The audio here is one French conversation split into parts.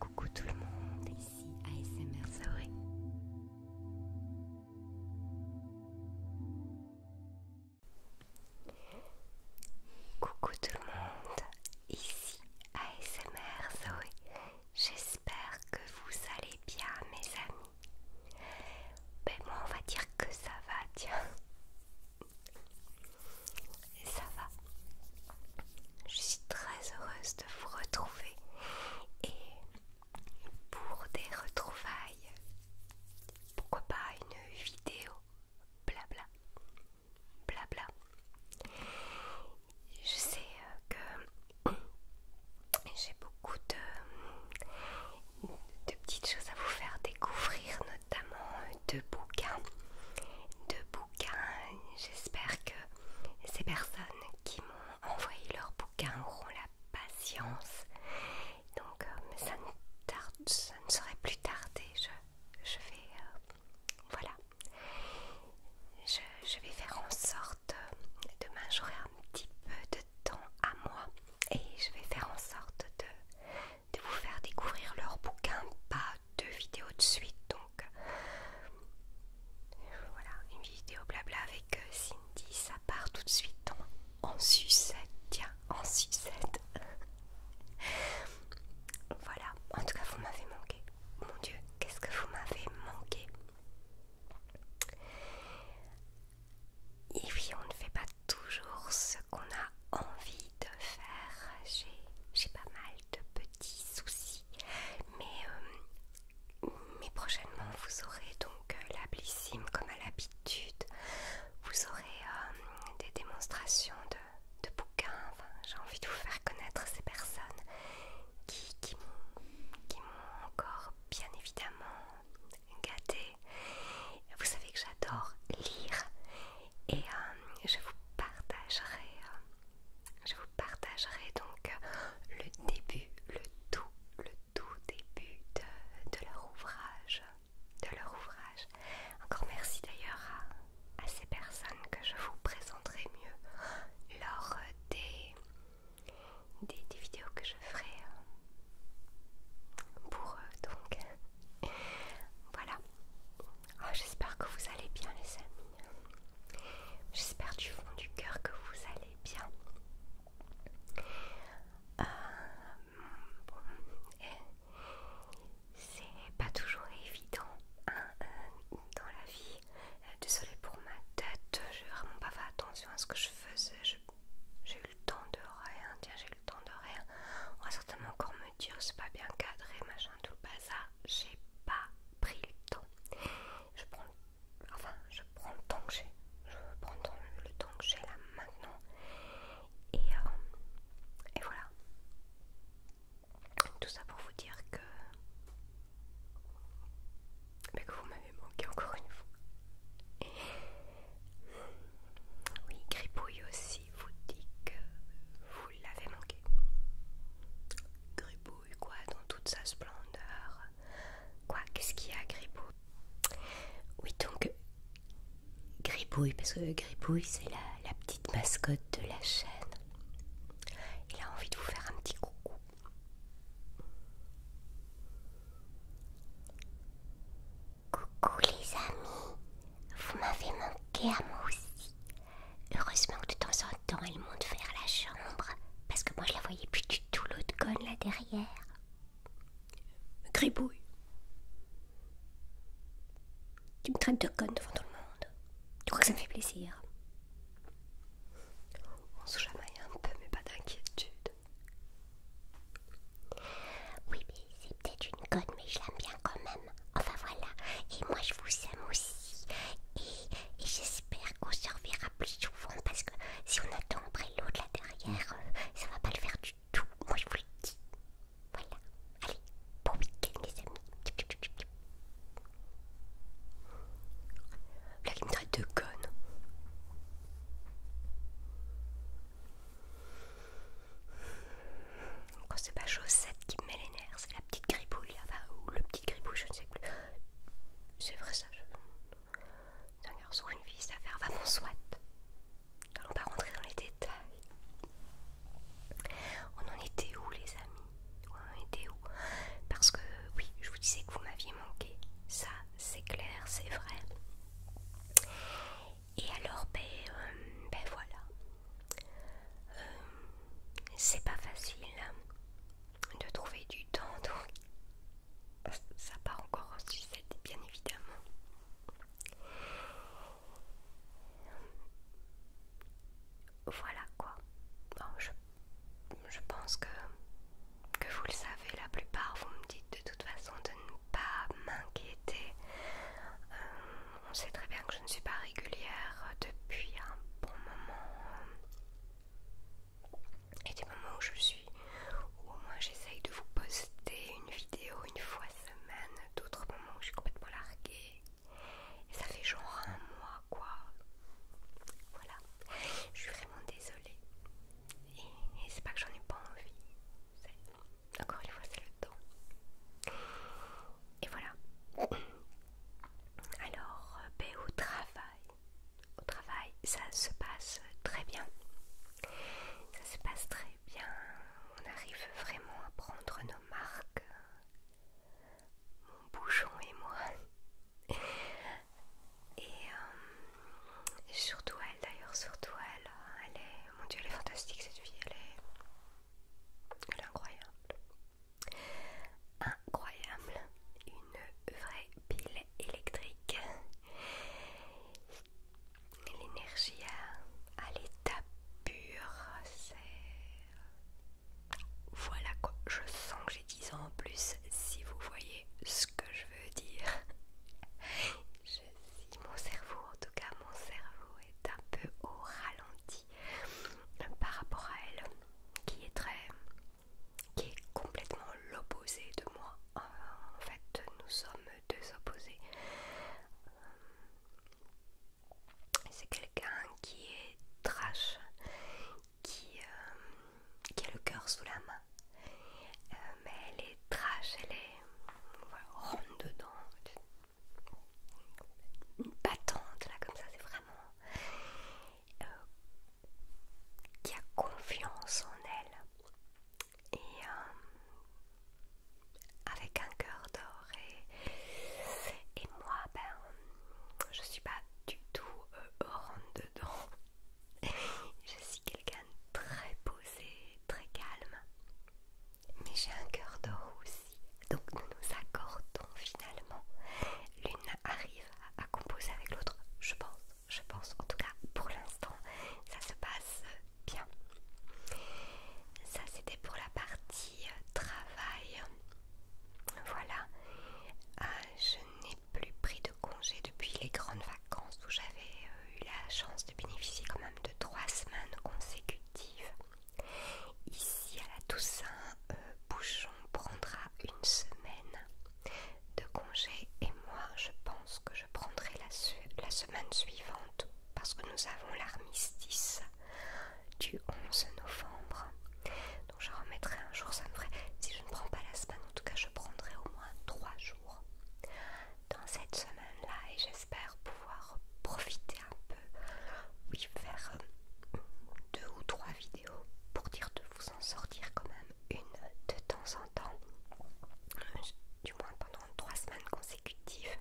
Coucou tout le monde, ici ASMR Zoé. Coucou tout le monde, ici ASMR Zoé. J'espère que vous allez bien mes amis. Ben moi on va dire que ça va, tiens ça va. Je suis très heureuse de vous retrouver et pour des retrouvailles, pourquoi pas une vidéo blabla. Blabla. Je sais euh, que j'ai beaucoup de, petites choses à vous faire découvrir, notamment euh, deux bouquins. Deux bouquins J'espère que ces personnes qui m'ont envoyé leurs bouquins auront la patience. Donc, euh, ça, ne serait plus tardé. Je, vais. Euh, voilà. Je, vais faire en sorte. Euh, demain, j'aurai un petit peu de temps à moi et je vais faire en sorte de, vous faire découvrir leurs bouquins deux vidéos de suite donc euh, voilà une vidéo blabla avec euh, Cindy ça part tout de suite en, sucette tiens en sucette voilà en tout cas vous m'avez manqué mon dieu qu'est-ce que vous m'avez manqué et oui, on ne fait pas toujours ce qu'on a envie de faire. J'ai pas mal de petits soucis euh, mais, prochainement, vous aurez donc euh, la Blissime comme à l'habitude. Vous aurez euh, des démonstrations de, bouquins. J'ai envie de vous faire connaître ces personnes qui, m'ont encore bien évidemment gâtée. Vous savez que j'adore lire et je vous partagerai je vous partagerai donc euh, le début, le tout, le tout début de, leur ouvrage. De leur ouvrage. Encore merci d'ailleurs à, ces personnes que je vous présenterai mieux lors des, des, vidéos que je ferai euh, pour eux donc. Voilà. Ah, j'espère que vous allez bien, les amis. J'espère du fond du cœur que vous allez bien. Euh, eh, c'est pas toujours évident hein, euh, dans la vie. Euh, désolée pour ma tête, j'ai vraiment pas fait attention à ce que je faisais. J'ai eu le temps de rien. Tiens, j'ai eu le temps de rien. On va certainement encore c'est pas bien cadré, machin, tout le bazar. J'ai pas pris le temps. Je prends, enfin, je prends le temps que j'ai. Je prends le temps que j'ai là maintenant. Et, euh, et voilà. Tout ça pour vous dire que. Bah, que vous m'avez manqué encore une fois. Oui, Gripouille aussi vous dit que vous l'avait manqué. Gribouille, quoi, dans toute sa splendeur. Quoi, qu'est-ce qu'il y a, Gribouille Oui, donc, Gribouille, parce que Gribouille, c'est la, la petite mascotte de la chaîne. Il a envie de vous faire un petit coucou. Coucou les amis, vous m'avez manqué à moi aussi. Heureusement que de temps en temps, elle monte vers la chambre, parce que moi je la voyais plus du tout l'autre conne là derrière. Gribouille. Tu me traînes de conne devant tout le monde. Tu crois que ça me fait plaisir On se chamaille un peu, mais pas d'inquiétude. Oui, mais c'est peut-être une conne, mais je l'aime bien quand même. Enfin voilà, et moi je vous aime aussi. Et, j'espère qu'on se reverra plus souvent parce que si on attend l'eau de là derrière, euh, ça va pas le faire du tout. Moi je vous le dis. Voilà. Allez, bon week-end les amis. Là il me traite de conne. Quand c'est pas chaussette qui me met les nerfs, c'est la petite gribouille, là-bas, ou le petit gribouille, je ne sais plus. C'est vrai ça, je... D'ailleurs, un une fille, ça va vraiment soit. on pas rentrer dans les détails. On en était où les amis On en était où Parce que oui, je vous disais que vous m'aviez manqué. Ça, c'est clair, c'est vrai. Et alors, ben, euh, ben voilà. Euh, c'est pas facile hein, de trouver du temps, donc ça part encore en sucette, bien évidemment. Voilà quoi. je, pense que, que vous le savez, la plupart, vous me dites de toute façon de ne pas m'inquiéter. Euh, on sait très bien que je ne suis pas régulière depuis un bon moment et des moments où je suis où au moins j'essaye de vous poster une vidéo une fois semaine d'autres moments où je suis complètement larguée et ça fait genre un mois quoi voilà je suis vraiment désolée et c'est pas que j'en ai pas envie encore une fois c'est le temps et voilà alors, euh, au travail, au travail, ça se passe très bien. Ça se passe très bien. On arrive vraiment à prendre nos marques. Mon bouchon et moi. Et, euh, surtout elle, d'ailleurs, surtout elle. Elle est, mon dieu, elle est fantastique cette fille. elle est incroyable. Incroyable, une vraie pile électrique. L'énergie à, l'état pur, c'est... Voilà quoi, je sens que j'ai 10 ans en plus, si vous voyez ce que je veux dire. Je, mon cerveau, en tout cas mon cerveau est un peu au ralenti. Euh, par rapport à elle, qui est très, qui est complètement l'opposé de moi. Euh, en fait, nous sommes deux opposés. Euh, c'est quelqu'un qui est trash, qui, qui a le cœur sous la main, mais elle est trash, elle est ronde dedans une battante là comme ça, c'est vraiment euh, qui a confiance en elle et euh, avec un cœur d'or et, moi ben je suis pas du tout heureuse euh, dedans. je suis quelqu'un de très posé, très calme mais j'ai un cœur d'or aussi. Donc nous nous accordons finalement. L'une arrive à composer avec l'autre, je pense. Je pense, en tout cas pour l'instant, ça se passe bien. Ça c'était pour la partie euh, travail. Voilà. Euh, je n'ai plus pris de congé depuis les grandes vacances où j'avais euh, eu la chance de bénéficier quand même de trois semaines consécutives. Ici à la Toussaint, euh, Bouchon prendra une semaine de congé et moi je pense que je prendrai la, la semaine suivante parce que nous avons l'armistice du 11 novembre. Donc je remettrai un jour, ça me ferait... Si je ne prends pas la semaine, en tout cas je prendrai au moins trois jours dans cette semaine-là et j'espère pouvoir profiter faire euh, deux ou trois vidéos pour dire de vous en sortir quand même une de temps en temps, euh, du moins pendant trois semaines consécutives,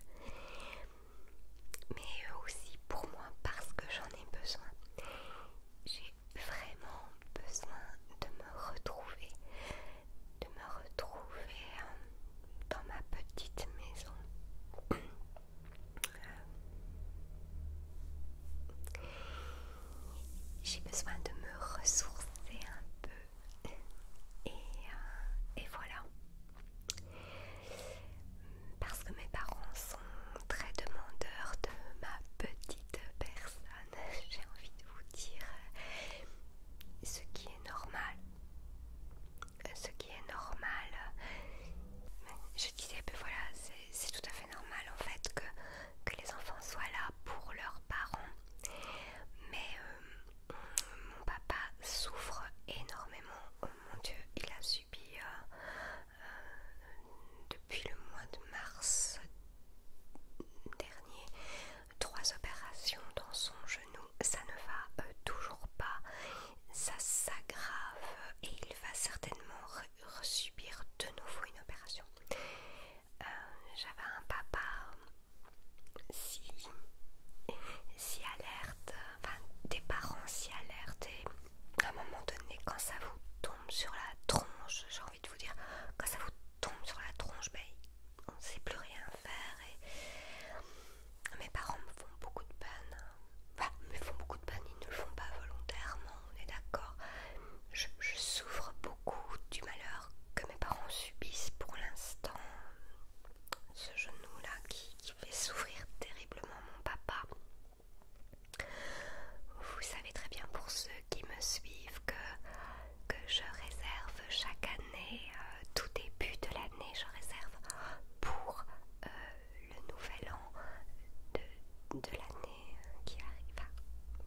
mais euh, aussi pour moi parce que j'en ai besoin. J'ai vraiment besoin de me retrouver, de me retrouver dans ma petite maison. J'ai besoin de me ressourcer un peu. Euh, et voilà. Parce que mes parents sont très demandeurs de ma petite personne, j'ai envie de vous dire ce qui est normal ce qui est normal. Je disais, que ben voilà, c'est tout à fait normal en fait que, les enfants soient là pour leurs parents. Mais euh, mon papa souffre énormément. Oh mon Dieu, il a subi euh, euh, depuis le mois de mars dernier trois opérations dans son genou. Ça ne va toujours pas ça s'aggrave et il va certainement subir de nouveau une opération. Euh, j'avais un papa si, si alerte, enfin des parents si alertes et à un moment donné quand ça vous tombe sur la tronche, j'ai envie de vous dire, quand ça vous tombe sur la tronche, ben, on ne sait plus rien faire et mes parents me font beaucoup de peine. Enfin, me font beaucoup de peine, ils ne le font pas volontairement, on est d'accord. Je, souffre beaucoup du malheur que mes parents subissent pour l'instant. Ce genou-là qui, fait souffrir terriblement mon papa. Vous savez très bien pour ceux qui me suivent que, je réserve chaque année, euh, tout début de l'année, je réserve pour euh, le nouvel an de, l'année euh, qui arrive.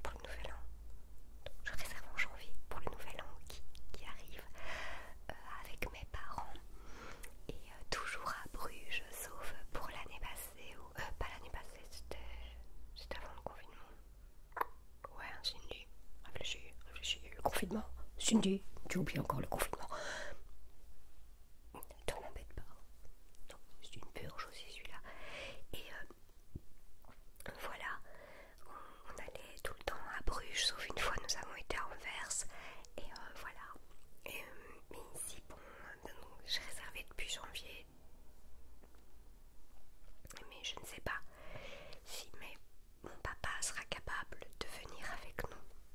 pour le nouvel an, je réserve en janvier pour le nouvel an qui, arrive euh, avec mes parents et euh, toujours à Bruges, sauf pour l'année passée, ou pas l'année passée, c'était avant le confinement. Ouais, hein, Cindy, réfléchis, réfléchis, le confinement. Cindy, tu oublies encore le confinement ne m'embête pas. c'est une purge aussi celui-là. Et euh, voilà, on, allait tout le temps à Bruges, sauf une fois nous avons été à Anvers. Et euh, voilà. Euh, mais ici, bon, j'ai réservé depuis janvier. Mais je ne sais pas si mon papa sera capable de venir avec nous.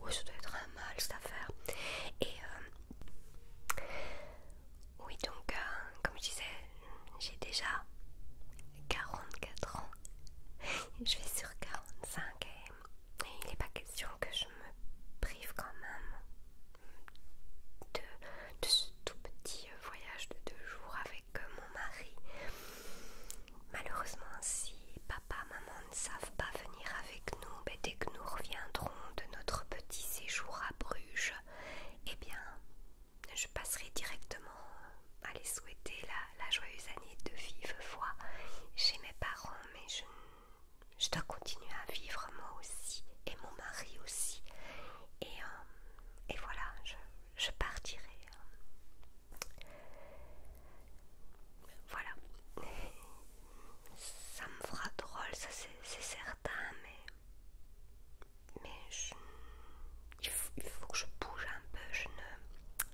oui, ça doit être un mal cette affaire. Et euh, oui, donc, euh, comme je disais, j'ai déjà 44 ans. Je vais sur 45 et, il n'est pas question que je me prive quand même de, ce tout petit voyage de deux jours avec euh, mon mari. Malheureusement, si maman ne savent pas venir avec nous, mais dès que nous reviendrons de notre petit séjour à Bruges, eh bien, je passerai directement à les souhaiter la, joyeuse année de vive voix chez mes parents, mais je, dois continuer à vivre moi aussi et mon mari aussi. Et, euh, voilà, je partirai. Voilà. Ça me fera drôle, ça c'est certain, mais, il, faut, que je bouge un peu. Je ne,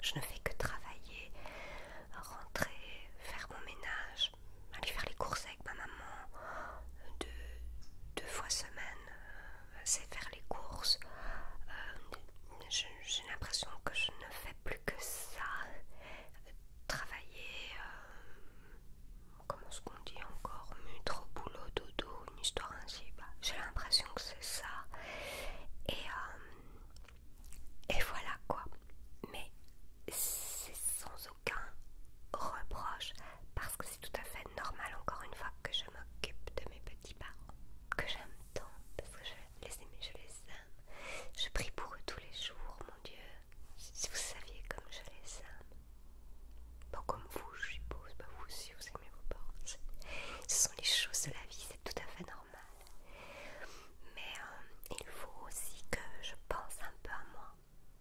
je ne fais que travailler, rentrer, faire mon ménage, aller faire les courses avec ma maman deux, deux fois semaine. Euh, c'est faire les courses. Euh, j'ai l'impression que je ne fais plus que ça. Travailler, euh, comment est-ce qu'on dit encore, mutre, boulot, dodo, une histoire ainsi. Bah, j'ai l'impression que c'est ça. Et, euh, et voilà quoi. Mais c'est sans aucun reproche parce que c'est tout à fait normal, encore une fois, que je m'occupe de mes petits parents que j'aime tant parce que les aimer, je les aime. Je prie pour eux tous les jours, mon Dieu. Si vous saviez comme je les aime. Pas comme vous, je suppose, pas vous aussi, vous aimez vos parents. Ce sont les choses de la vie, c'est tout à fait normal. Mais euh, il faut aussi que je pense un peu à moi.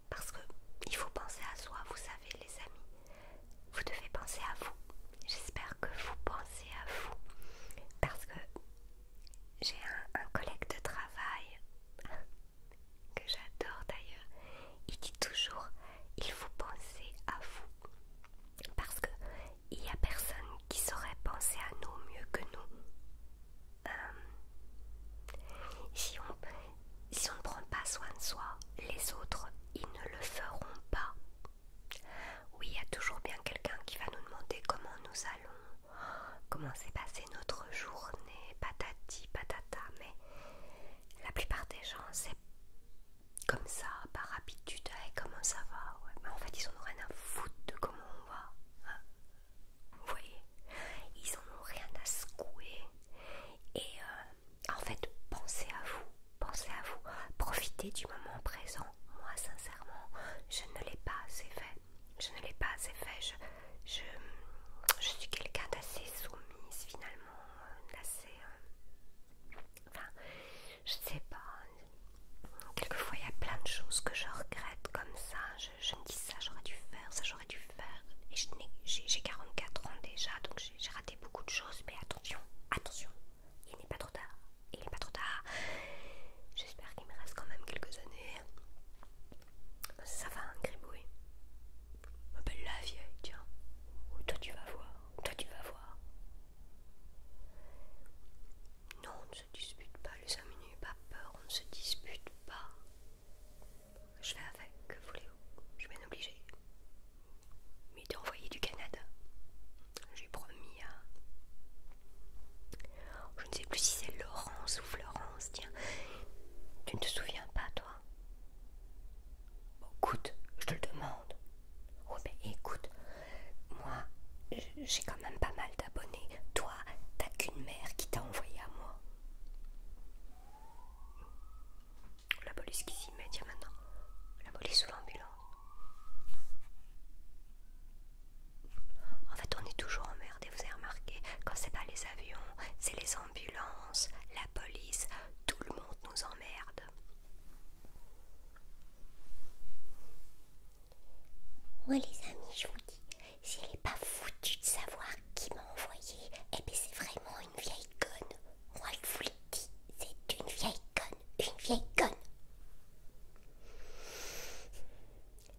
Parce que il faut penser à soi, vous savez les amis. Vous devez penser à vous. J'espère que vous pensez à vous. Parce que j'ai un, collègue de travail que j'adore d'ailleurs. Il dit toujours il faut penser à vous parce qu'il il n'y a personne qui saurait penser à nous mieux que nous. Euh, si on ne prend pas soin de soi, les autres ils ne le feront pas. Oui, il y a toujours bien quelqu'un qui va nous demander comment nous allons, comment s'est passée notre journée, patati patata, mais la plupart des gens, c'est comme ça, par habitude, eh, comment ça va mais En fait, ils n'ont ont rien à foutre de comment on va. Hein. Vous voyez Ils ont rien à secouer. Et euh, en fait, pensez à vous, pensez à vous, profitez du moment présent, moi sincèrement, je ne l'ai pas assez fait. Je ne l'ai pas assez fait. Je, je, suis quelqu'un d'assez soumise finalement, euh, d'assez... Euh, enfin, je sais pas. Quelquefois, il y a plein de choses que je regrette comme ça. Je, je dis ça, j'aurais dû faire, ça, j'aurais dû faire. Et j'ai 44 ans déjà, donc j'ai raté beaucoup de choses. Mais attention, attention, il n'est pas trop tard, il n'est pas trop tard. J'espère qu'il me reste quand même quelques années. Ça va, un Ma M'appelle la vieille, tiens. Ou oh, toi tu vas voir, toi tu vas voir. Non, on ne se dispute pas, les amis, minutes, pas peur, on ne se dispute pas. Je vais avec, voulez-vous Je suis bien obligée. Mais t'es envoyé du Canada. J'ai promis à... Je ne sais plus si c'est Laurence ou Florence, tiens. Tu ne te souviens pas, toi écoute, je te le demande. Ouais, mais écoute, moi, j'ai quand même pas mal d'abonnés. Toi, t'as qu'une mère qui t'a envoyé à moi. La police qui s'y met, tiens maintenant. La police ou l'ambulance en fait, on est toujours emmerdé, vous avez remarqué, quand c'est pas les avions, c'est les ambulances, la police, tout le monde nous emmerde. Moi, les amis, je vous dis, elle est pas foutu de savoir qui m'a envoyé, Et eh bien, c'est vraiment une vieille conne. Moi, je vous le dis, c'est une vieille conne, une vieille conne.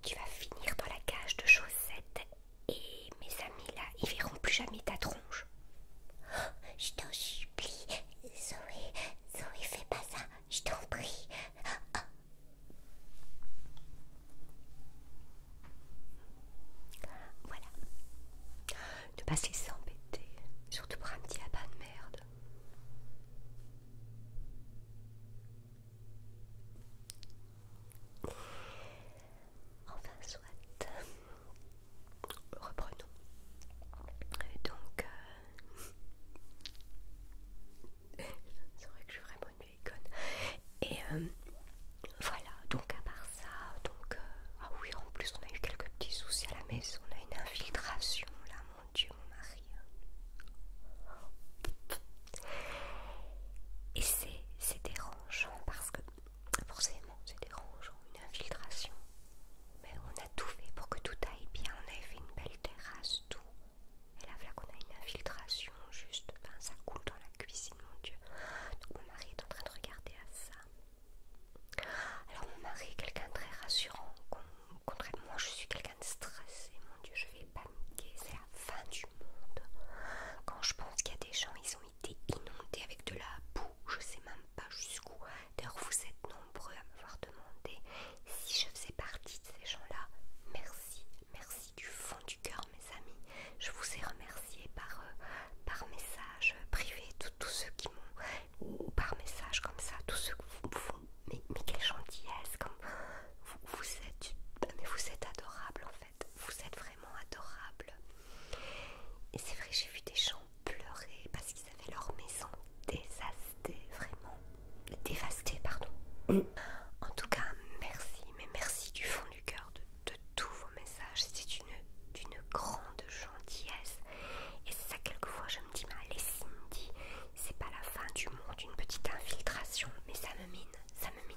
Tu vas finir dans la cage de chaussettes et mes amis là, ils verront plus jamais ta tronche. je t'en supplie, Zoé, Zoé, fais pas ça, je t'en prie. Voilà. Ne pas s'embêter, surtout pour un petit lapin de merde. Enfin, soit. Reprenons. Donc, c'est euh, vrai que je suis vraiment une Et euh, voilà, donc à part ça, donc, euh, ah oui, en plus on a eu quelques petits soucis à la maison, on a une infiltration là mon Dieu, mon mari. Et c'est dérangeant parce que forcément c'est dérangeant, une infiltration. Mais on a tout fait pour que tout aille bien, on avait fait une belle terrasse, tout. Et là voilà qu'on a une infiltration, juste, ben, ça coule dans la cuisine, mon Dieu. Donc mon mari est en train de regarder à ça. Alors mon mari est quelqu'un de très rassurant, Contrairement, je suis quelqu'un de stressé. Mon Dieu, je vais paniquer. C'est la fin du monde. Quand je pense qu'il y a des gens, ils ont été inondés avec de la boue. Je sais même pas jusqu'où. D'ailleurs, vous êtes nombreux à me voir demander si je faisais partie de ces gens-là. Merci, merci du fond du cœur, mes amis. Je vous ai remercié par, euh, par message privé, tous ceux qui m'ont par message comme ça, tous ceux que vous, me mais, mais quelle gentillesse, comme vous, êtes, bah, mais vous êtes adorable en fait, vous êtes vraiment adorable. Et c'est vrai, j'ai vu des gens pleurer parce qu'ils avaient leur maison dévastée, vraiment dévastée, pardon. Mm. En tout cas, merci, mais merci du fond du cœur de, tous vos messages, c'est une d'une grande gentillesse et ça quelquefois Cindy, c'est pas la fin du monde, une petite infiltration, mais ça me mine, ça me mine,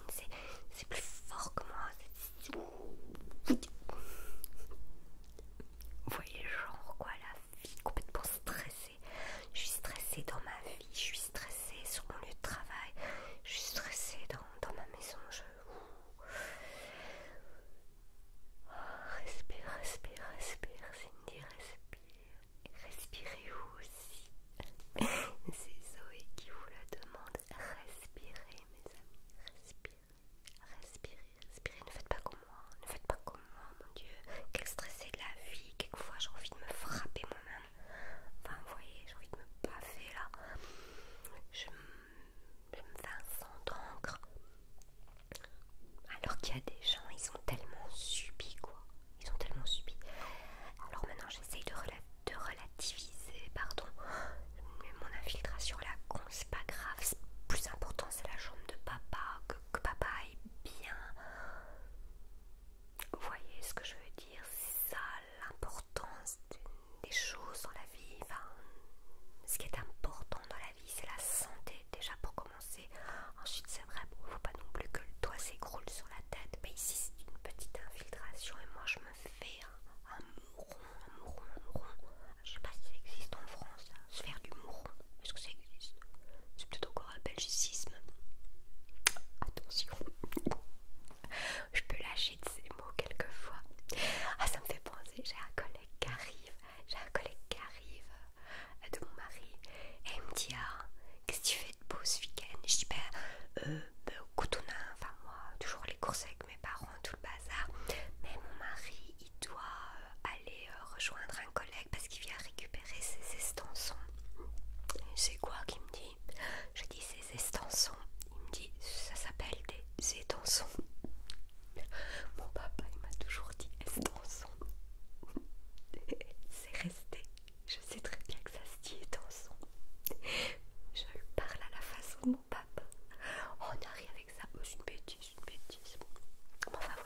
c'est plus fort que moi. Vous voyez, genre quoi, la vie complètement stressée. Je suis stressée dans ma vie, je suis stressée sur mon lieu de travail, je suis stressée dans, ma maison. Je... Ah, respire, respire, respire, Cindy, Respirez, Respirez vous aussi. C'est Zoé qui vous la demande. Respirez mes amis. Respirez. Respirez. Respirez. Ne faites pas comme moi. Ne faites pas comme moi, mon Dieu. Quel stressé de la vie. Quelquefois j'ai envie de me frapper moi-même. Enfin, vous voyez, j'ai envie de me baffer là. Je, me fais un sang alors qu'il y a des gens, ils ont tellement subi quoi. Ils ont tellement subi. Alors maintenant j'essaye de, relativiser, pardon. Mais mon infiltration là, con, c'est pas grave. Plus important c'est la jambe de papa, que, papa aille bien. Vous voyez ce que je veux dire C'est ça l'importance des choses dans la vie. Enfin, ce qui est important dans la c'est la santé déjà pour commencer. Ensuite, c'est vrai, ne faut pas non plus que le doigt s'écroule sur la tête. Mais ici, c'est une petite infiltration et moi je me fais un, mouron, un mouron, un mouron. Je sais pas si ça existe en France, hein, se faire du mouron. Est-ce que ça existe C'est peut-être encore un belgicisme. Attention, je peux lâcher de ces mots quelquefois. Ah, ça me fait penser, j'ai un collègue qui arrive j'ai un collègue qui arrive euh, de mon mari et il me dit Ah, qu'est-ce que tu fais de beau ce week-end Je dis Ben, euh, ben, enfin moi, toujours les courses avec mes parents, tout le bazar. Mais mon mari, il doit euh, aller euh, rejoindre un collègue parce qu'il vient récupérer ses estançons. C'est quoi qu'il me dit Je dis ses estançons. Il me dit Ça s'appelle des étançons. Mon papa il m'a toujours dit est-ce dans son C'est resté. Je sais très bien que ça se dit est son. Je lui parle à la façon de mon papa. Oh, on arrive avec ça. Oh, c'est une bêtise, une bêtise. voilà.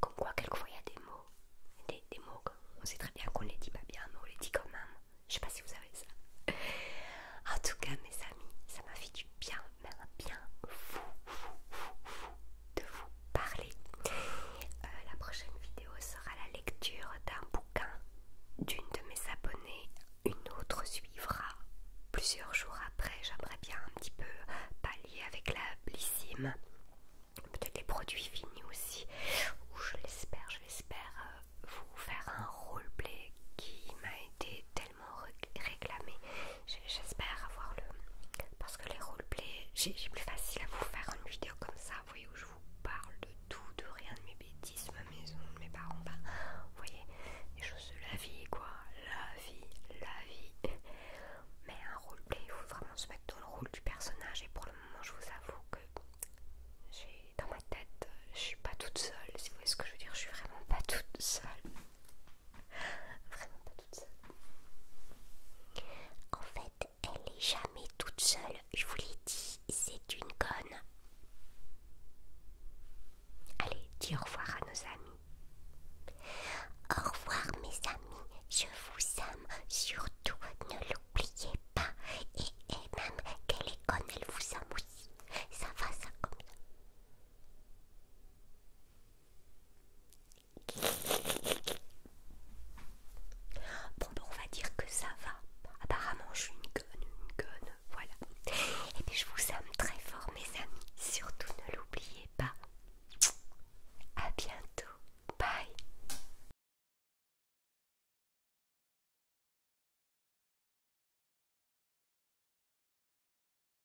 Comme quoi, quelquefois il y a des mots. Des, des mots qu'on sait très bien qu'on les dit pas bien, mais on les dit quand même. Je sais pas si vous avez ça. En tout cas, mes amis, ça m'a fait du bien bien de vous parler. Euh, la prochaine vidéo sera la lecture d'un bouquin d'une de mes abonnées. Une autre suivra plusieurs jours après. J'aimerais bien un petit peu pallier avec la blissime. Peut-être les produits finis aussi. Ou je l'espère, je l'espère euh, vous faire un roleplay qui m'a été tellement réclamé. J'espère avoir le. Parce que les roleplay, j'ai plus facile à vous faire une vidéo comme ça, vous voyez, où je vous parle de tout, de rien, de mes bêtises, ma maison, de mes parents, bah, vous voyez, les choses de la vie, quoi. La vie, la vie. Mais un roleplay, il faut vraiment se mettre dans le rôle du personnage. Et pour le moment, je vous avoue que j'ai dans ma tête, je suis pas toute seule. Si vous voyez ce que je veux dire, je suis vraiment pas toute seule. Vraiment pas toute seule. En fait, elle est jamais toute seule. Je vous l'ai dit, c'est une conne. Allez, dis au revoir à nos amis. Au revoir mes amis, je vous aime, surtout ne l'oubliez pas. Et, même qu'elle est conne, elle vous aime aussi. Ça va ça comme ça. Bon, ben, on va dire que ça va. Apparemment, je suis une gonne, une gonne voilà. Et je vous aime très fort, mes amis. Surtout, ne l'oubliez pas. À bientôt. Bye.